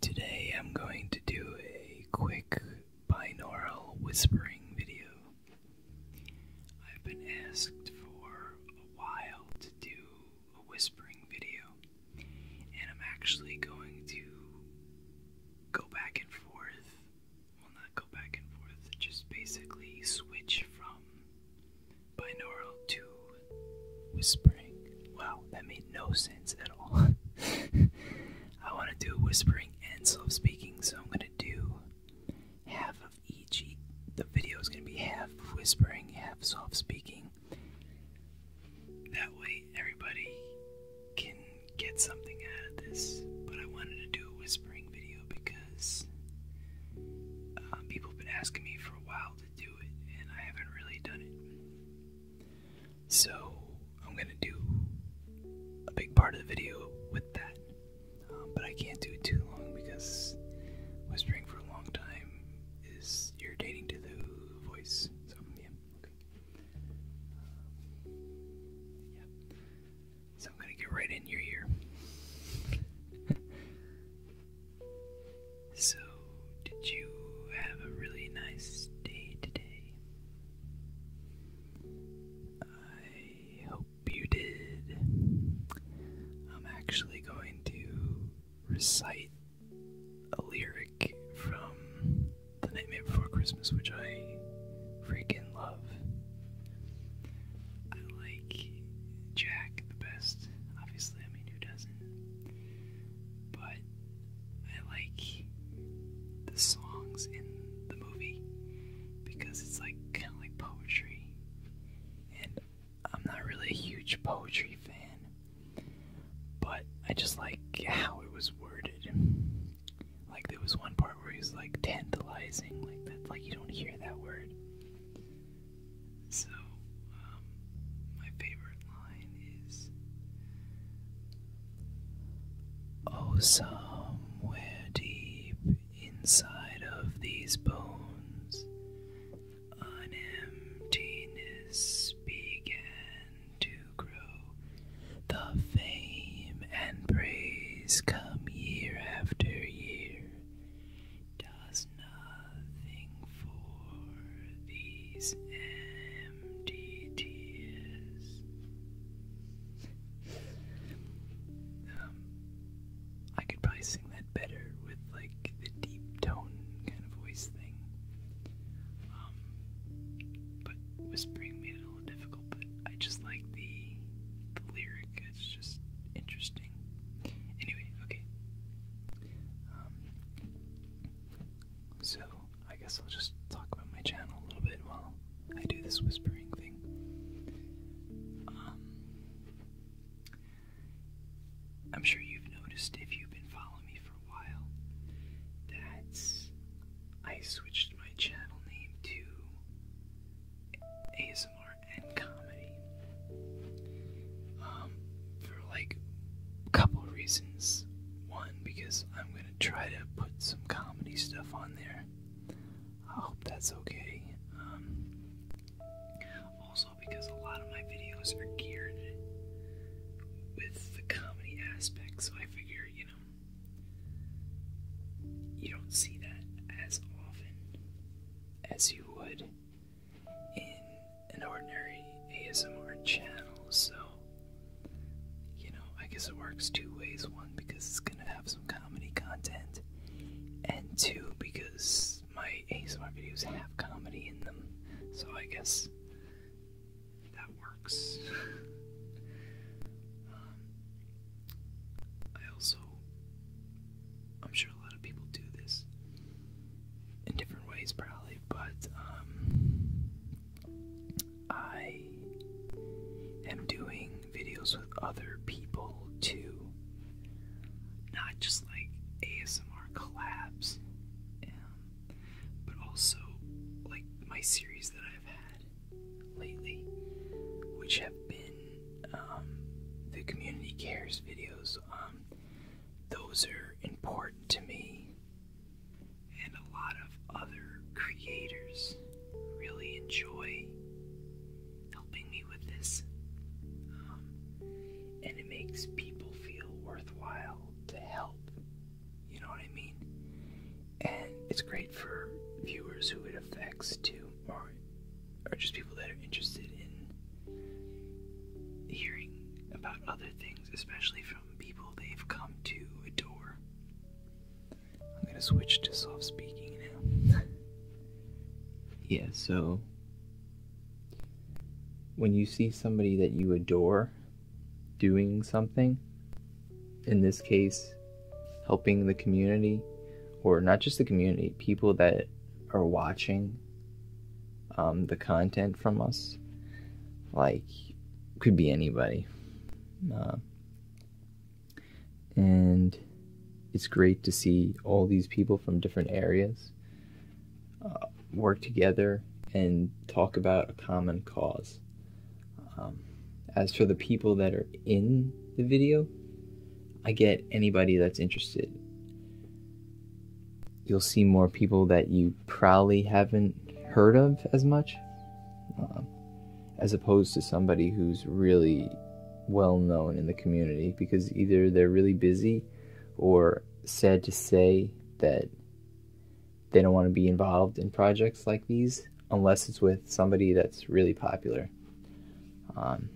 Today I'm going to do a quick binaural whispering video. I've been asked for a while to do a whispering video, and I'm actually going to go back and forth. Well, not go back and forth, just basically switch from binaural to Whispering. Wow, that made no sense at all. I want to do whispering and slow speaking, so I'm going to do half of each. The video is going to be half whispering, half soft speaking. That way, everybody can get something out of this. But I wanted to do a whispering video because um, people have been asking me for a while do it, and I haven't really done it. So I'm gonna do a big part of the video with that, um, but I can't do it too long because whispering for a long time is irritating to the voice. So I'm gonna get right in your ear. So, did you have a really nice day today? I hope you did. I'm actually going to recite a lyric from The Nightmare Before Christmas, which I freaking love. I like Jack the best. Obviously, I mean, who doesn't? but I like the songs in the movie because it's like kind of like poetry, and I'm not really a huge poetry fan, but I just like how it was worded. Like there was one part where he's like tantalizing, like that, like you don't hear that word. So, um, my favorite line is Oh, somewhere deep inside of these bones, an emptiness began to grow. The fame and praise come year after year does nothing for these empty tears. Um, I could probably sing that better with like the deep tone kind of voice thing. Um, but whispering made it a little difficult. But I just like the the lyric. It's just interesting. Anyway, okay. Um, so, I guess I'll just talk about my channel a little bit while I do this whispering thing. Um, I'm sure you've noticed if you've been following me for a while that I switched my channel name to ASMR and comedy. Um, for like a couple reasons. One, because I'm gonna try to put some comedy stuff on there. I hope that's okay. Um, also, because a lot of my videos are geared with the comedy aspect, so I figure, you know, you don't see that as often as you would in an ordinary ASMR channel, so you know, I guess it works two ways. One, because it's gonna have some comedy content, and two, because my ASMR videos have comedy in them, so I guess that works. Um, I also I'm sure a lot of people do this in different ways, probably, but um, I am doing videos with other people too, not just like ASMR collabs, um, but also like my series that I've had lately, which have been um, the community cares videos, um, those are important to me, and a lot of other creators really enjoy helping me with this, um, and it makes people feel worthwhile to help. You know what I mean? And it's great for viewers who it affects too you are just people that are interested in hearing about other things, especially from people they've come to adore. I'm gonna switch to soft speaking now. yeah, so when you see somebody that you adore doing something, in this case, helping the community or not just the community, people that are watching um, the content from us, like could be anybody. Um, and it's great to see all these people from different areas uh, work together and talk about a common cause. Um, as for the people that are in the video, I get anybody that's interested. You'll see more people that you probably haven't heard of as much, uh, as opposed to somebody who's really well known in the community because either they're really busy or sad to say that they don't want to be involved in projects like these unless it's with somebody that's really popular. Um,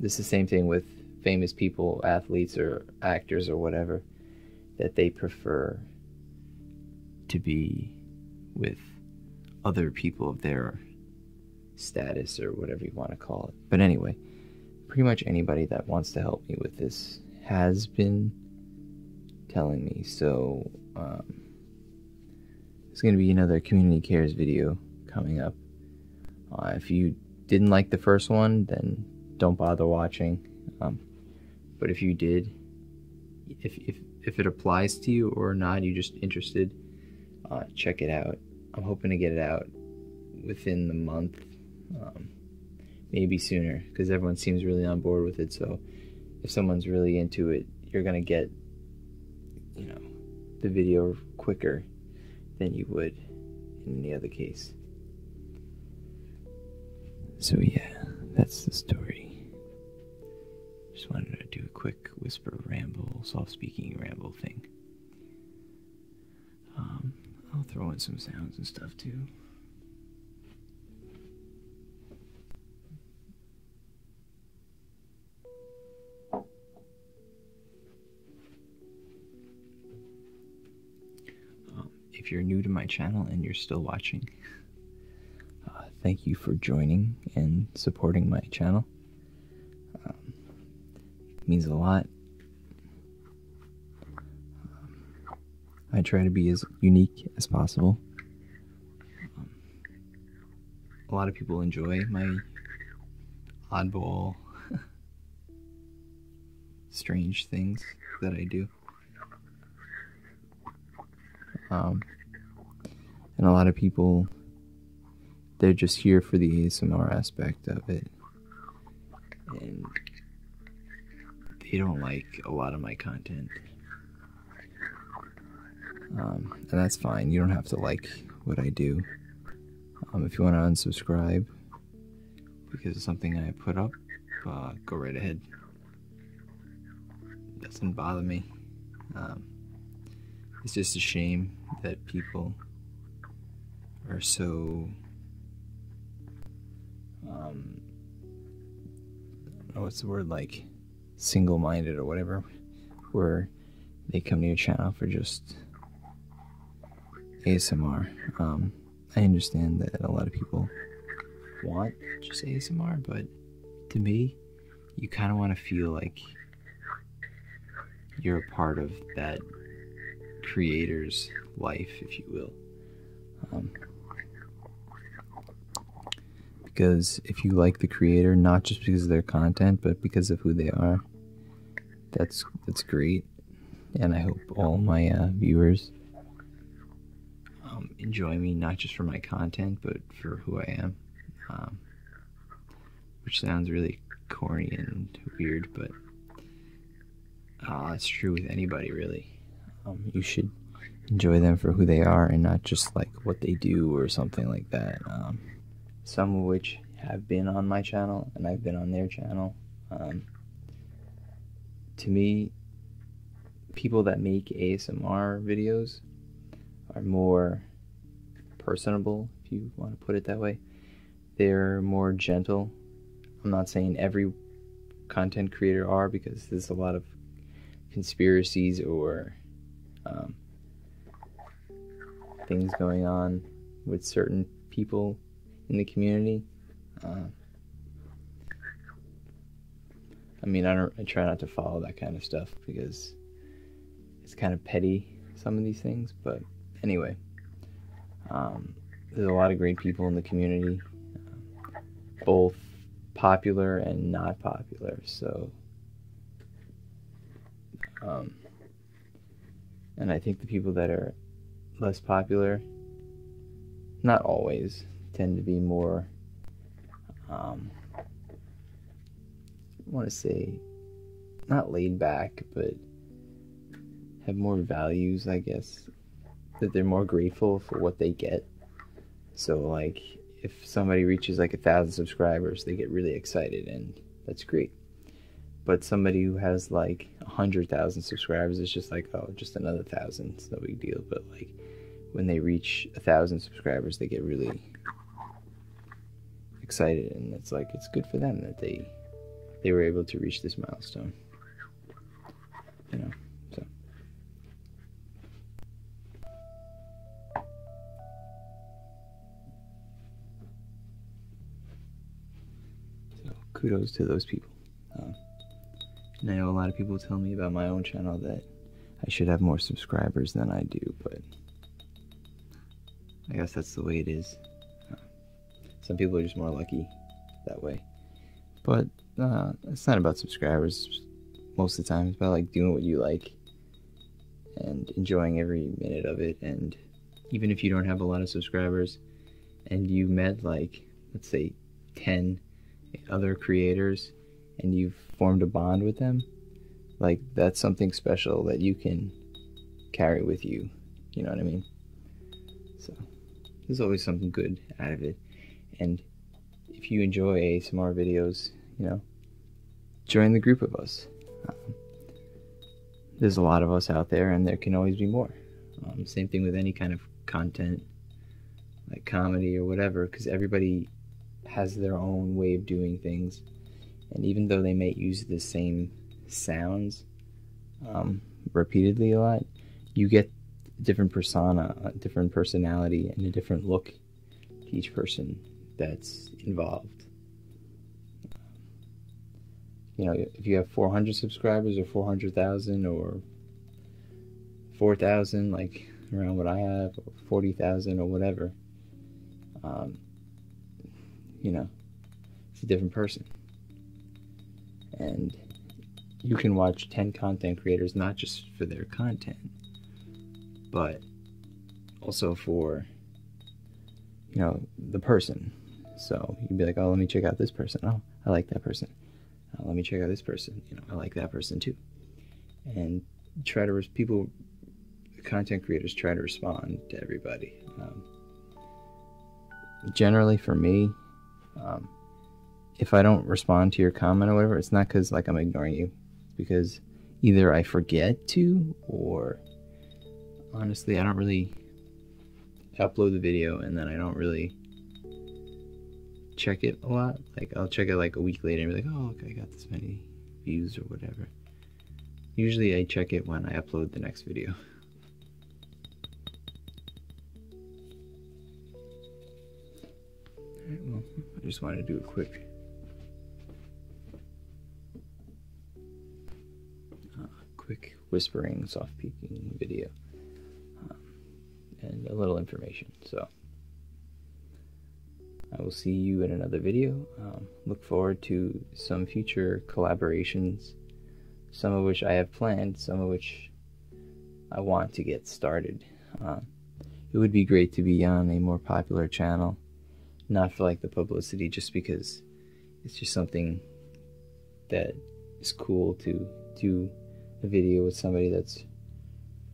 this is the same thing with famous people, athletes or actors or whatever, that they prefer to be with other people of their status or whatever you want to call it. But anyway, pretty much anybody that wants to help me with this has been telling me. So, um, it's going to be another Community Cares video coming up. Uh, if you didn't like the first one, then don't bother watching. Um, but if you did, if, if, if it applies to you or not, you're just interested, uh, check it out. I'm hoping to get it out within the month, um, maybe sooner, because everyone seems really on board with it. So if someone's really into it, you're going to get you know, the video quicker than you would in any other case. So, yeah, that's the story. Just wanted to do a quick whisper ramble, soft speaking ramble thing. Um, I'll throw in some sounds and stuff too. Um, if you're new to my channel and you're still watching, uh, thank you for joining and supporting my channel. Um, means a lot. Um, I try to be as unique as possible a lot of people enjoy my oddball, strange things that I do. Um, and a lot of people, they're just here for the ASMR aspect of it. And they don't like a lot of my content. Um, and that's fine. You don't have to like what I do. Um, if you want to unsubscribe because of something I put up, uh, go right ahead. Doesn't bother me. Um, it's just a shame that people are so um, what's the word like single-minded or whatever, where they come to your channel for just ASMR. Um, I understand that a lot of people want just ASMR, but to me, you kind of want to feel like you're a part of that creator's life, if you will. Um, because if you like the creator, not just because of their content, but because of who they are, that's that's great. And I hope all my uh, viewers um, enjoy me not just for my content, but for who I am. Um, which sounds really corny and weird, but that's uh, true with anybody really. Um, you should enjoy them for who they are and not just like what they do or something like that. Um, some of which have been on my channel and I've been on their channel. Um, to me, people that make ASMR videos are more personable, if you want to put it that way. They're more gentle. I'm not saying every content creator are because there's a lot of conspiracies or um, things going on with certain people in the community. Um, I mean, I don't. try not to follow that kind of stuff because it's kind of petty some of these things. But anyway, um, there's a lot of great people in the community, both popular and not popular. So um, and i think the people that are less popular not always tend to be more um, want to say not laid back but have more values i guess that they're more grateful for what they get so like if somebody reaches like a thousand subscribers, they get really excited and that's great. But somebody who has like a hundred thousand subscribers is just like, oh, just another thousand, it's no big deal. But like when they reach a thousand subscribers, they get really excited, and it's like it's good for them that they they were able to reach this milestone. You know, so so kudos to those people. Um, now a lot of people tell me about my own channel that I should have more subscribers than I do, but I guess that's the way it is. Some people are just more lucky that way. But uh, it's not about subscribers most of the time. It's about like doing what you like and enjoying every minute of it. And even if you don't have a lot of subscribers and you met like, let's say, 10 other creators and you've formed a bond with them, like that's something special that you can carry with you. You know what I mean? So there's always something good out of it. And if you enjoy ASMR videos, you know, join the group of us. Um, there's a lot of us out there, and there can always be more. Um, same thing with any kind of content, like comedy or whatever, because everybody has their own way of doing things. And even though they may use the same sounds um, repeatedly a lot, you get a different persona, a different personality, and a different look to each person that's involved. You know, if you have 400 subscribers or 400,000 or 4,000, like around what I have, 40,000 or whatever, um, you know, it's a different person. And you can watch 10 content creators, not just for their content, but also for you know the person. So you'd be like, oh, let me check out this person. Oh, I like that person. Uh, let me check out this person. You know, I like that person too. And try to people, content creators try to respond to everybody. Um, generally, for me, um, if I don't respond to your comment or whatever, it's not because like I'm ignoring you. It's because either I forget to, or honestly, I don't really upload the video and then I don't really check it a lot. Like I'll check it like a week later and be like, oh, look, I got this many views or whatever. Usually I check it when I upload the next video. well, I just wanted to do a quick uh, quick whispering, soft peeking video. Um, and a little information, so I will see you in another video. Um, look forward to some future collaborations, some of which I have planned, some of which I want to get started. Um, it would be great to be on a more popular channel, not for like the publicity, just because it's just something that is cool to do a video with somebody that's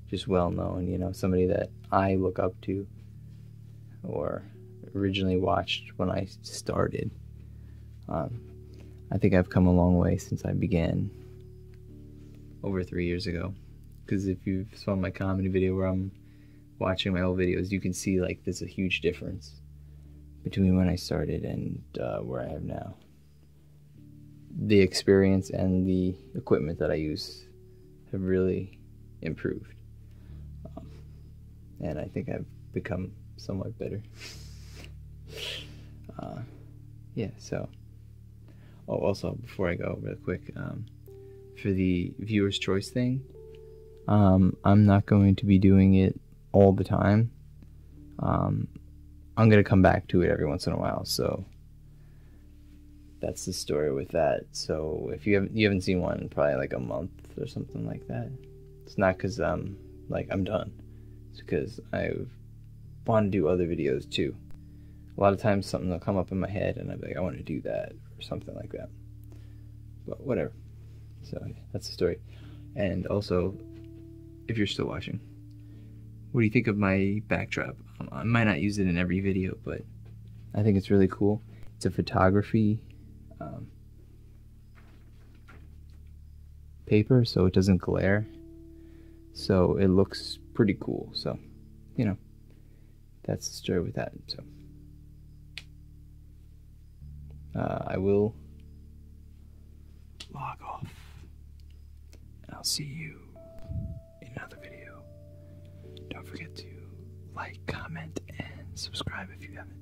just well known, you know, somebody that I look up to or originally watched when I started. Um, I think I've come a long way since I began over three years ago. Because if you've saw my comedy video where I'm watching my old videos, you can see like there's a huge difference between when I started and uh, where I am now. The experience and the equipment that I use have really improved. Um, and I think I've become somewhat better. Uh, yeah, so Oh, also, before I go, real quick, um, for the viewer's choice thing, um, I'm not going to be doing it all the time. Um, I'm going to come back to it every once in a while. So that's the story with that. So if you haven't seen one in probably like a month or something like that, it's not because um like I'm done. It's because I've want to do other videos too. A lot of times something will come up in my head and I'll be like, I want to do that or something like that. But whatever. So that's the story. And also, if you're still watching, what do you think of my backdrop? I might not use it in every video, but I think it's really cool. It's a photography um, paper so it doesn't glare. So it looks pretty cool. So, you know, that's the story with that. So, uh, I will log off. I'll see you in another video. Don't forget to like, comment, and subscribe if you haven't.